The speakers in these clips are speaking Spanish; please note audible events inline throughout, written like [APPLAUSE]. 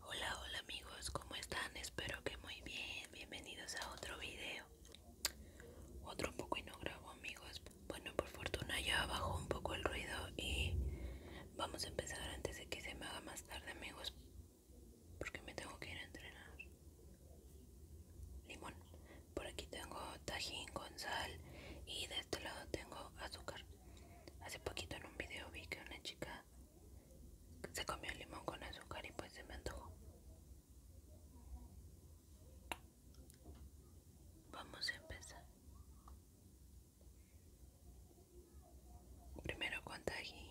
Hola, hola amigos, ¿cómo están? Espero que muy bien. Bienvenidos a otro video. Otro un poco y no grabo, amigos. Bueno, por fortuna ya bajó un poco el ruido y vamos a empezar antes de que se me haga más tarde, amigos, porque me tengo que ir a entrenar. Limón, por aquí tengo tajín con sal y de este lado tengo azúcar. Hace poquito en un video vi que una chica se comió limón con azúcar y pues se me antojó. Vamos a empezar. Primero con tajín.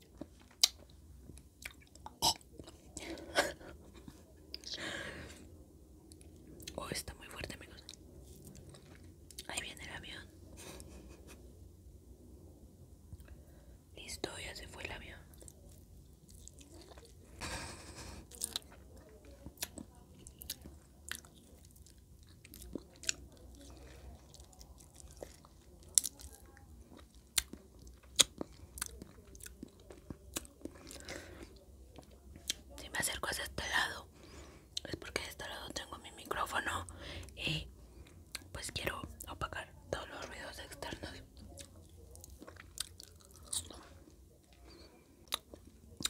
Oh, está muy fuerte, amigos. Ahí viene el avión. Listo, ya se fue el avión. Si me acerco hacia este lado es porque de este lado tengo mi micrófono y pues quiero apagar todos los ruidos externos.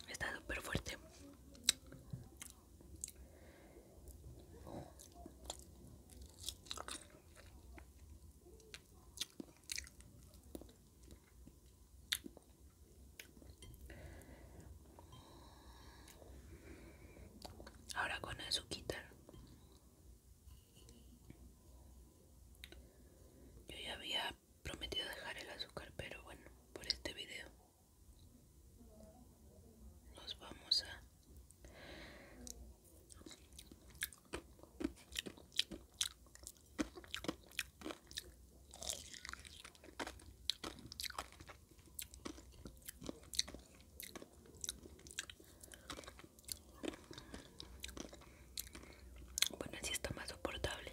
Está súper fuerte. Ahora con el Yo ya había prometido dejar el azúcar, pero bueno, por este video los vamos a bueno así está más soportable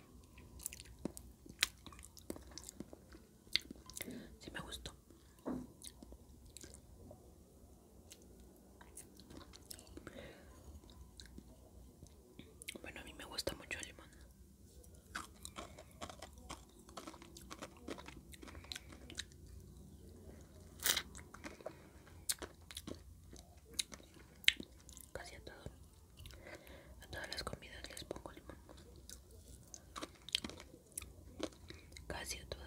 Sí me gustó. Bueno, a mí me gusta mucho alemán Casi a todo. A todas las comidas les pongo limón. Casi a todas.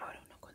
Ahora uno con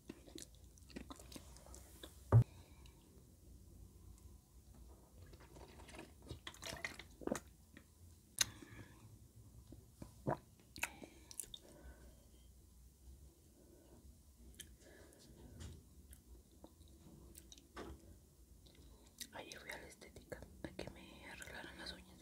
Ayer voy a la estética a que me arreglaran las uñas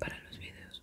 para los videos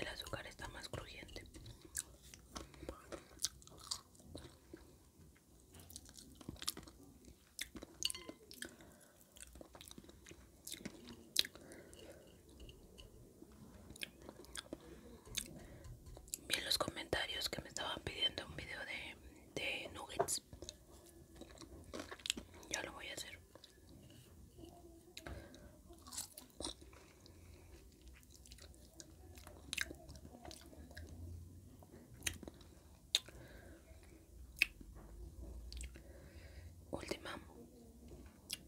El azúcar está más crujiente. Bien en los comentarios que me estaban pidiendo un video de, de nuggets ya lo voy a hacer Última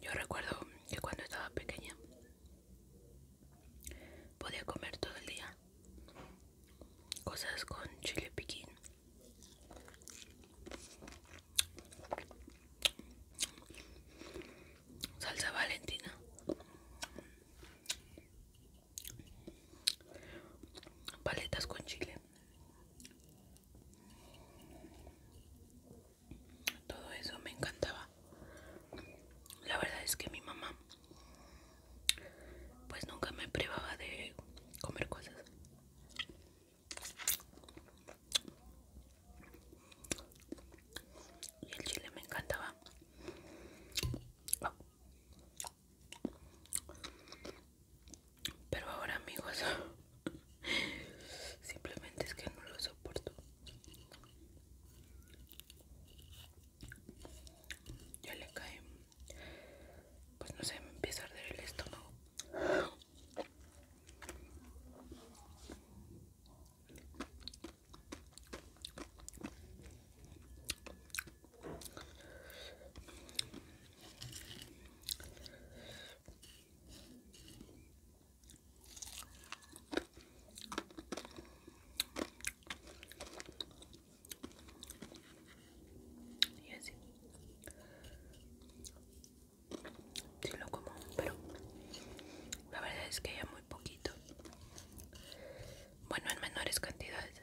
Yo recuerdo que cuando estaba pequeña podía comer todo el día cosas con chile piquín. Salsa Valentina paletas con chile todo eso me encantaba la verdad es que mi mamá pues nunca me privaba de comer cosas y el chile me encantaba pero ahora amigos, [LAUGHS] simplemente es que no lo soporto. Ya le cae, pues no sé, me empieza a arder el estómago. Y así. Sí lo como, pero la verdad es que ya muy poquito bueno en menores cantidades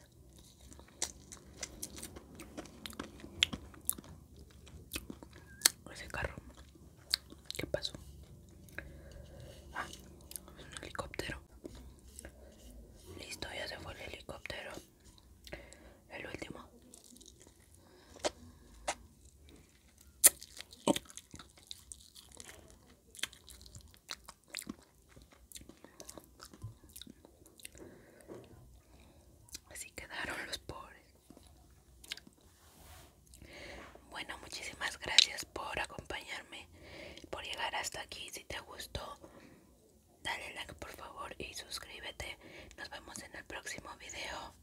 ese carro ¿Qué pasó? Ah, un helicóptero. Listo, ya se fue el helicóptero. El último. Así quedaron los pobres. Bueno, muchísimas gracias por acompañarme, por llegar hasta aquí. Si te gustó, dale like por favor y suscríbete. Nos vemos en el próximo video.